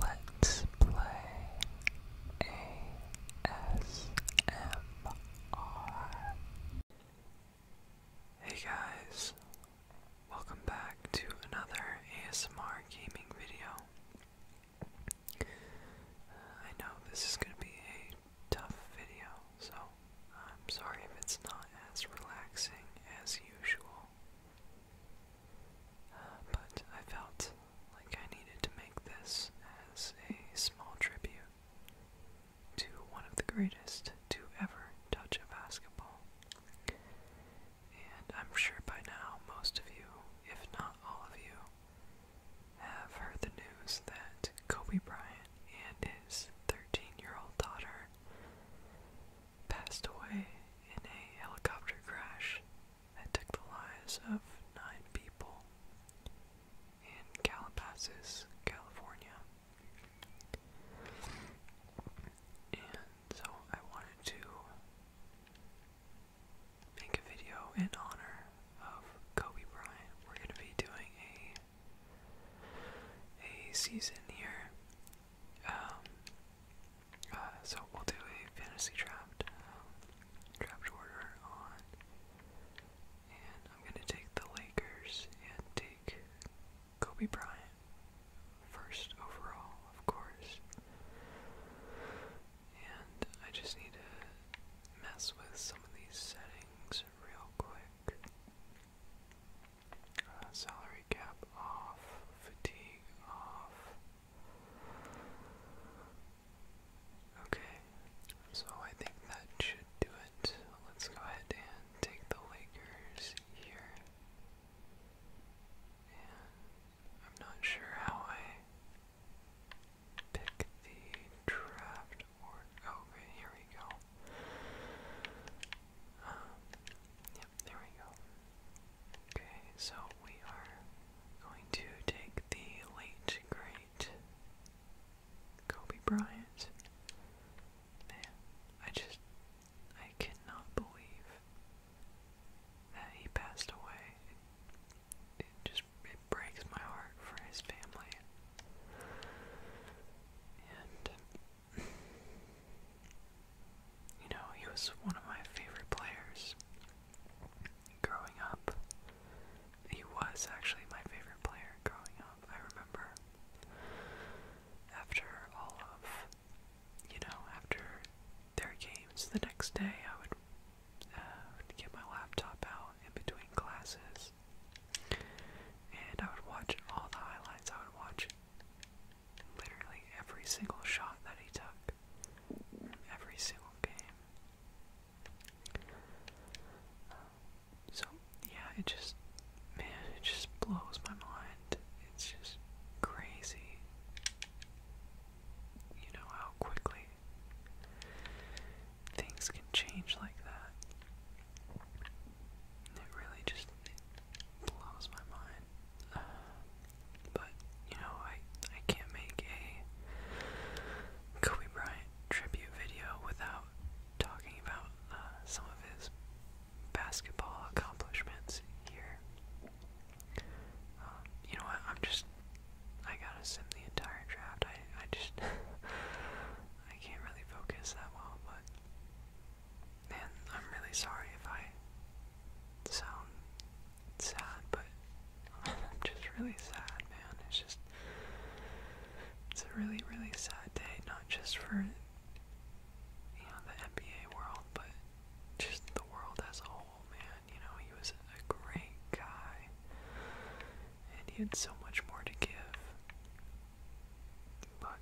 Let's play ASMR. Hey guys, welcome back to another ASMR gaming video. I know this is going to be a tough video, so I'm sorry if it's not as relaxing as usual. Uh, but I felt like I needed to make this as a small tribute to one of the greatest to ever touch a basketball. And I'm sure by now most of you, if not all of you, have heard the news that Kobe Bryant and his 13 year old daughter passed away in a helicopter crash that took the lives of nine people in Calabasas, California. And so I wanted to make a video in honor of Kobe Bryant. We're going to be doing a a season here. Um, uh, so we'll do a fantasy draft, um, draft order on, and I'm gonna take the Lakers and take Kobe Bryant first overall, of course. And I just need to mess with some of these settings real quick. Uh, salary cap off, fatigue off. Okay, so I think that should do it. Let's go ahead and take the Lakers here. I'm not sure how I pick the draft oh, okay, here we go. Um, there we go. Okay, so we are going to take the late great Kobe Bryant. Man, I just I cannot believe that he passed away. It, just it breaks my heart for his family. You know, he was one of my favorite players growing up. He was actually my favorite player growing up. I remember after all of, you know, after their games the next day, I would uh, get my laptop out in between classes and I would watch all the highlights. I would watch literally every single shot that he took from every single game. so yeah, it just man, it just blows my mind. It's just crazy. You know how quickly things can change like that. It really just blows my mind. Uh, but you know, I I can't make a Kobe Bryant tribute video without talking about uh, some of his basketball accomplishments here. Um, you know what? I'm just I gotta sim the entire draft. I I just I can't really focus that well, but. Man, I'm really sorry if I sound sad, but I'm just really sad, man. It's just. It's a really, really sad day, not just for, you know, the NBA world, but just the world as a whole, man. You know, he was a great guy, and he had so much more to give. But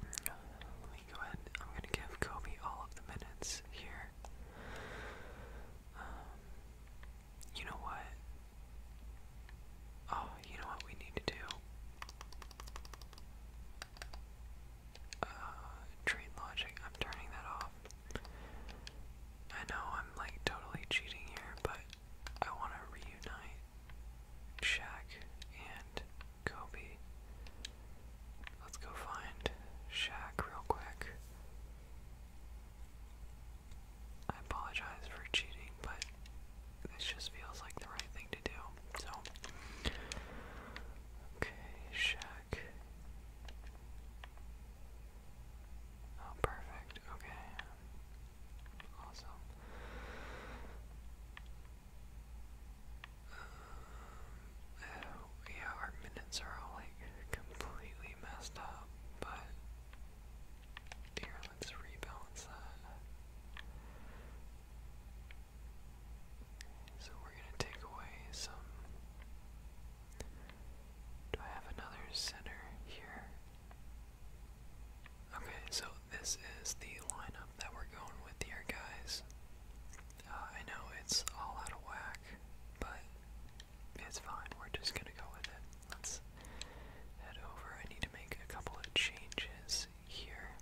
let me go ahead. I'm gonna give Kobe all of the minutes here. Um, you know what? Oh, you know what we need to do? Uh, trade logic. I'm turning that off. I know I'm like totally cheating here, but I want to reunite Shaq and Kobe. Let's go find Shaq real quick. I apologize for cheating, but this just feels like the right thing to do. So, okay, Shaq. Oh, perfect. Okay. Awesome. Um, yeah, our minutes are all like completely messed up, but here, let's rebalance that. So we're gonna take away some. Do I have another center here? Okay, so this is the lineup that we're going with here, guys. Uh, I know it's all out of whack, but it's fine. We're just gonna go with it. Let's head over. I need to make a couple of changes here.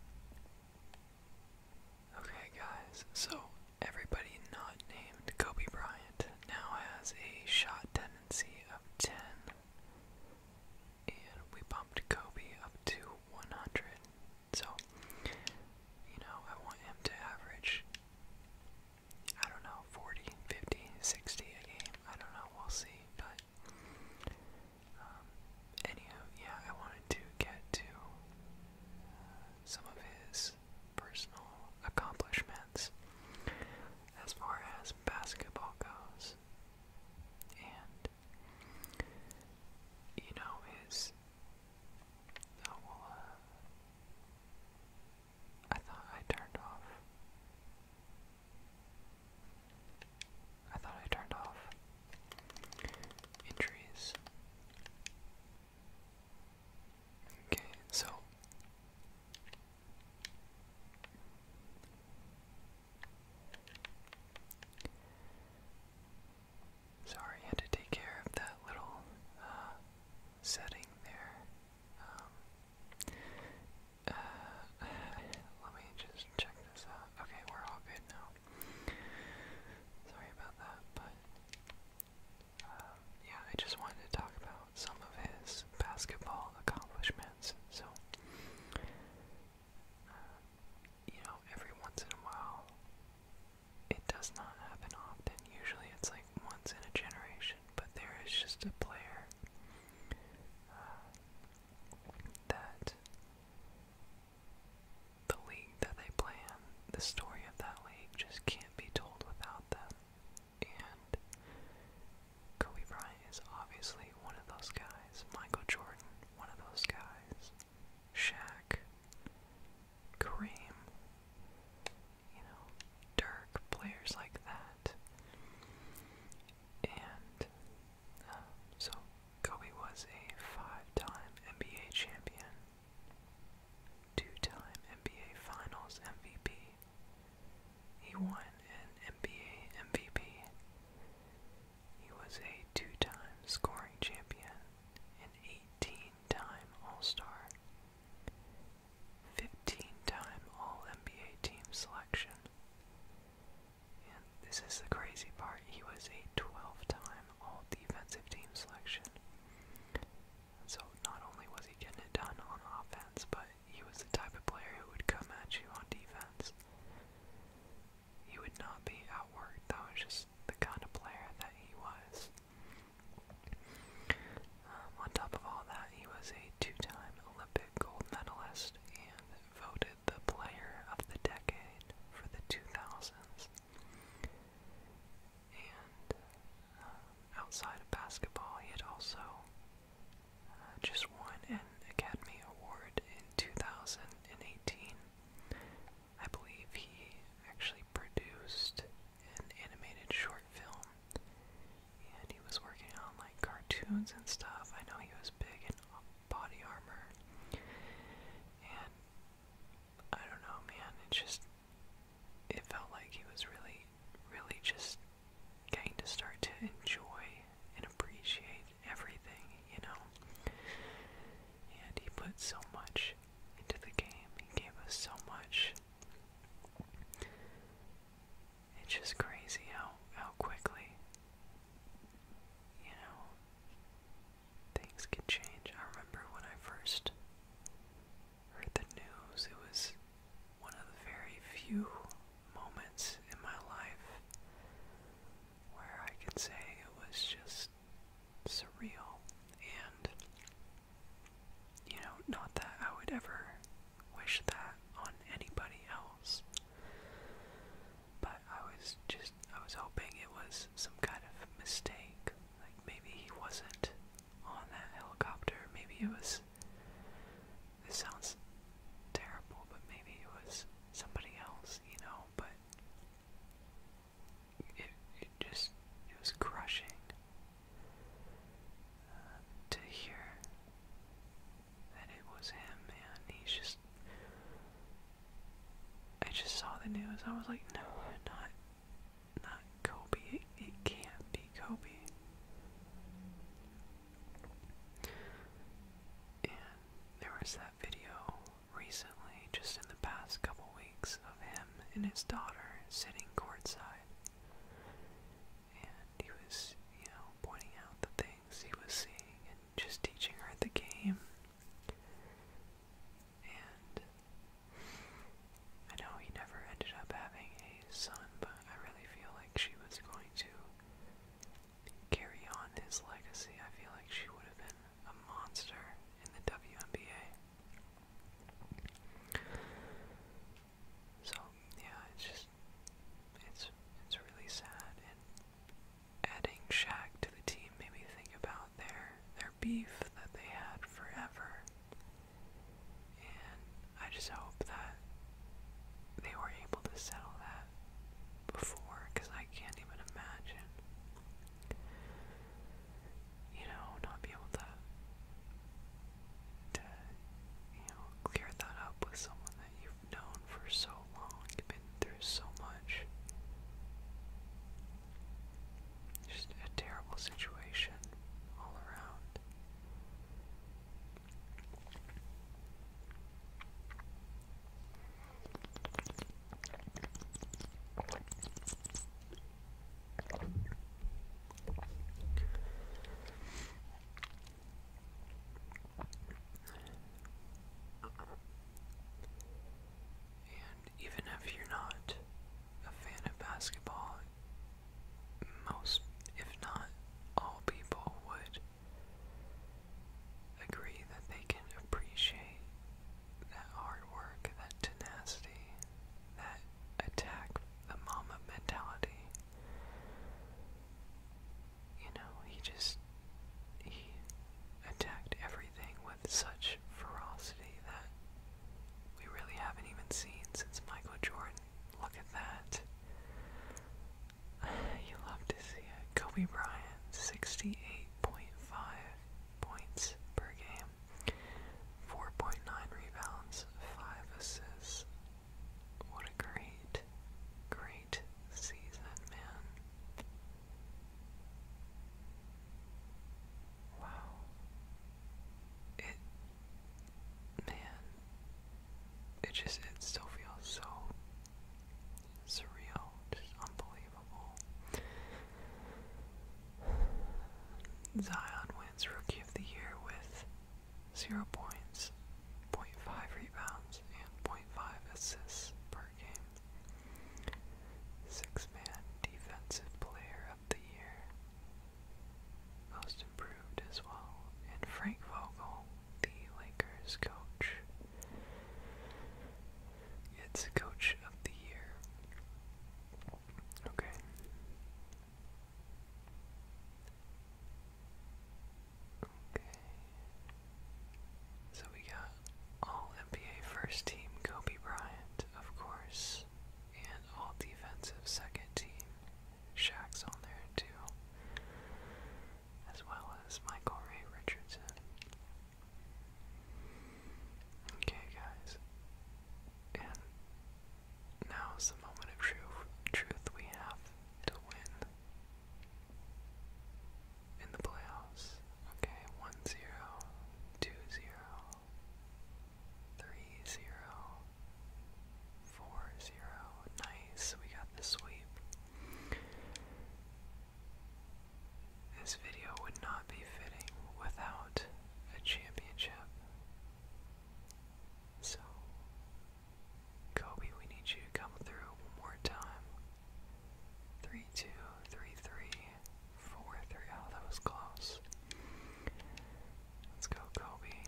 Okay, guys, so everybody not named Kobe Bryant now has a shot tendency of 10 and we bumped Kobe up to 100. So, you know, I want him to average, I don't know, 40, 50, 60 a game. I don't know, we'll see. But, um, anywho, yeah, I wanted to get to uh, some of his personal accomplishments as far as basketball goes. And, you know, his. Uh, uh, I thought I turned off. I thought I turned off injuries. Okay, so Sorry, had to take care of that little uh, setting there. Um, uh, let me just check this out. Okay, we're all good now. Sorry about that, but um, yeah, I just wanted to talk about some of his basketball accomplishments. So, uh, you know, every once in a while, it does not happen often. Usually it's like once in a generation, but there is just a player uh, that the league that they play in, the story of that league just can't be told without them and Kobe Bryant is obviously one of those guys. Michael Jordan, one of those guys. Shaq, Kareem, you know, Dirk, players like that. And uh, so Kobe was a five-time NBA champion, two-time NBA Finals MVP, he won an NBA MVP. He was a two time scoring champion, an 18 time All Star, 15 time All NBA team selection. And this is the crazy part he was a 12 time All Defensive team selection, so not only was he getting it done on offense, but he was the type of player who would come at you on defense. He would not be outworked. That was just the kind of player that he was. Um, on top of all that, he was a two-time Olympic gold medalist and voted the player of the decade for the 2000s. And uh, outside of basketball, he had also uh, just won an Academy Award in 2018. I believe he actually produced an animated short film, and he was working on like cartoons and stuff. I know he was big in body armor, and I don't know, man. It's just it felt like he was really, really just getting to start to enjoy and appreciate everything, you know. And he put so much into the game, he gave us so much. It's just crazy how how quickly you know things can change. I remember when I first heard the news, it was one of the very few moments in my life where I can say it was just surreal and you know, not that I would ever wish that on anybody else. But I was just I was hoping it was some kind of mistake. Like maybe he wasn't on that helicopter. Maybe it was. This sounds terrible, but maybe it was somebody else, you know, but it, it just, it was crushing uh, to hear that it was him, man. He's just, I just saw the news, I was like, no, not not Kobe. It, can't be Kobe. And there was that video recently, just in the past couple weeks, of him and his daughter sitting courtside. And he was, you know, pointing out the things he was seeing and just teaching her the game and I know he never ended up having a son, but I really feel like she was going to carry on his legacy. I feel like she would have been a monster in the WNBA. So yeah, it's just it's it's really sad and adding Shaq to the team made me think about their beef that they had forever. And I just hope that they were able to settle that before, because I can't even imagine, you know, not be able to, to, you know, clear that up with someone that you've known for so long, you've been through so much. Just a terrible situation all around. And even if you're not a fan of basketball, most, if not all people, would agree that they can appreciate that hard work, that tenacity, that attack the mama mentality. You know, he just, he attacked every with such ferocity that we really haven't even seen since Michael Jordan. Look at that. You love to see it. Kobe Bryant, 68.5 points per game, 4.9 rebounds, 5 assists. What a great, great season, man. Wow. It man it just it still feels so surreal, just unbelievable. Zion wins Rookie of the Year with zero points, 0.5 rebounds, and 0.5 assists per Six man defensive player of the year. Most improved as well. And Frank Vogel, the Lakers coach. It's coach of the year. Okay. Okay. So we got all NBA first team Kobe Bryant, of course, and all defensive second team. Shaq's on there too, as well as Michael Ray Richardson. Okay, guys, and now's the moment of truth. Truth we have to win in the playoffs. Okay, 1 Nice, we got the sweep. This video would not be fitting without a championship. So, Kobe, we need you to come through one more time. Three two three three four three. Oh, that was close. Let's go, Kobe.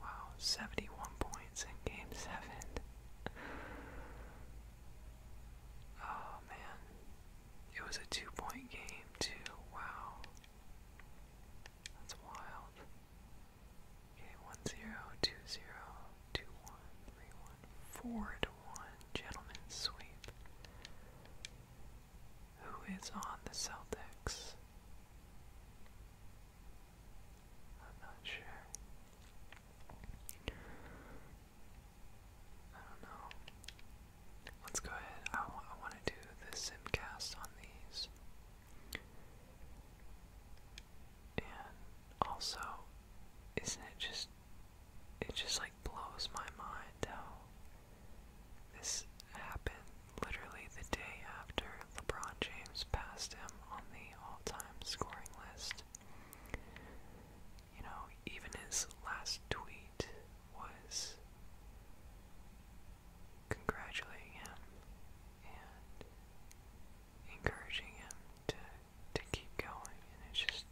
Wow, seventy-one points in game seven. Oh man, it was a two-point game too. Wow, that's wild. Okay, one zero, two zero two one, three one, four gentlemen sweep. Who is on the Celtics? I'm not sure. I don't know. Let's go ahead. I, I want to do the simcast on these. And also, isn't it just it just like blows my mind how this happened literally the day after LeBron James passed him on the all time scoring list. You know, even his last tweet was congratulating him and encouraging him to to keep going, and it's just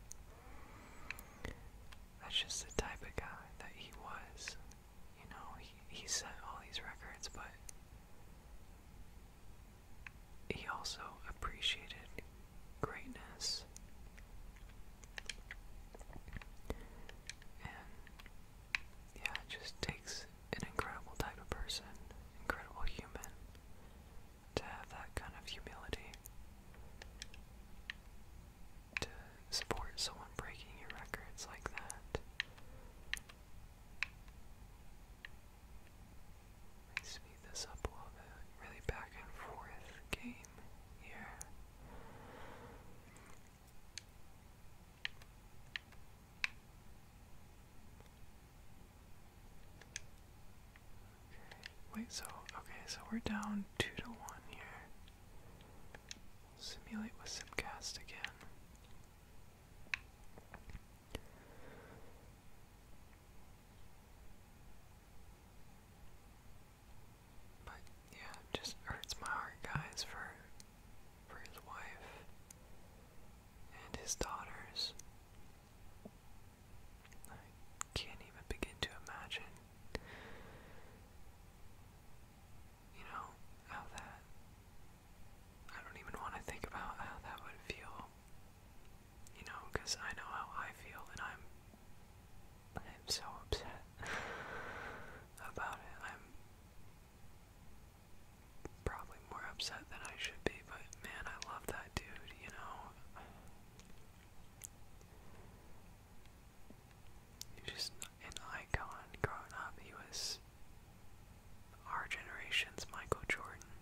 that's just the type of guy that he was. You know, he he set all these records, but he also appreciated greatness. And yeah, it just takes an incredible type of person, incredible human, to have that kind of humility to support someone breaking your records like that. Let me speed this up a little bit. Really back and forth game here. Wait, so, okay, so we're down 2 to 1 here. Simulate with Simcast again. But yeah, it just hurts my heart, guys, for for his wife and his daughters. I can't even begin to imagine, you know, how that. I don't even want to think about how that would feel, you know, because I know how I feel, and I'm. I'm so upset about it. I'm probably more upset than I should be, but man, I love that dude, you know. He was just an icon growing up. He was our generation's Michael Jordan.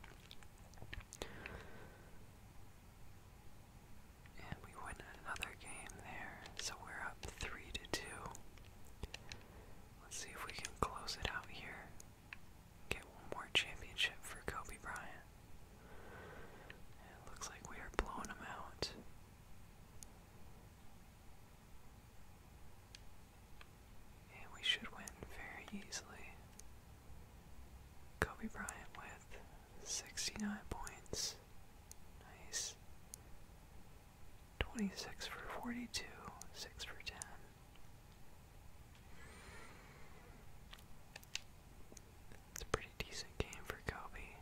And we win another game there, so we're up three to two. Let's see if we can close it out here get one more championship for Kobe Bryant. it looks like we are blowing him out. And we should win very easily. Kobe Bryant with 69 points. Nice. 26 for 42, 6 for 10. It's a pretty decent game for Kobe.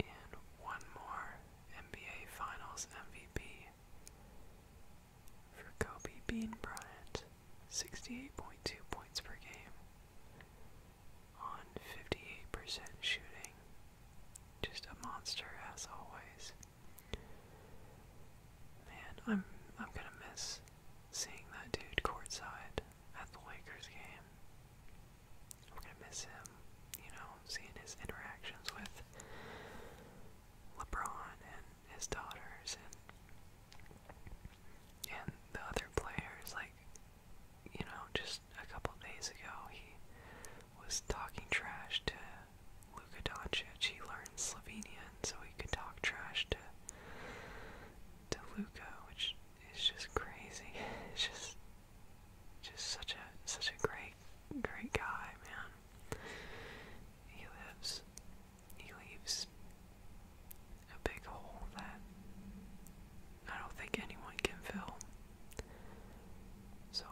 And one more NBA Finals MVP for Kobe Bean Bryant. 68.2 points per game on 58% shooting. Just a monster as always. Man, I'm I'm gonna miss seeing that dude courtside at the Lakers game. I'm gonna miss him, you know, seeing his interactions with LeBron and his daughters and and the other players. Like, you know, just a couple days ago, he was talking trash to Luka Doncic. He learned Slovenian, so he could talk trash to to Luka, which is just crazy. It's just just such a such a great great guy, man. He lives he leaves a big hole that I don't think anyone can fill. So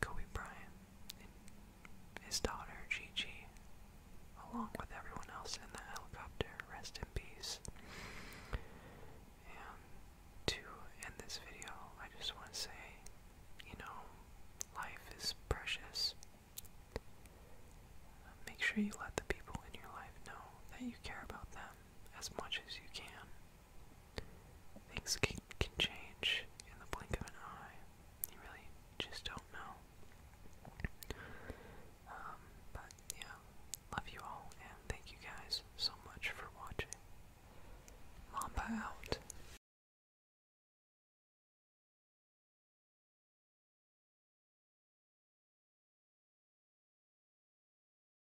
Kobe Bryant his daughter Gigi, along with everyone else in the helicopter, rest in peace. to end this video, I just want to say, you know, life is precious. Make sure you let the people in your life know that you care about them as much as you can. Things can, change in the blink of an eye. You really just don't know. Um, but yeah, love you all, and thank you guys so much for watching. Mamba out.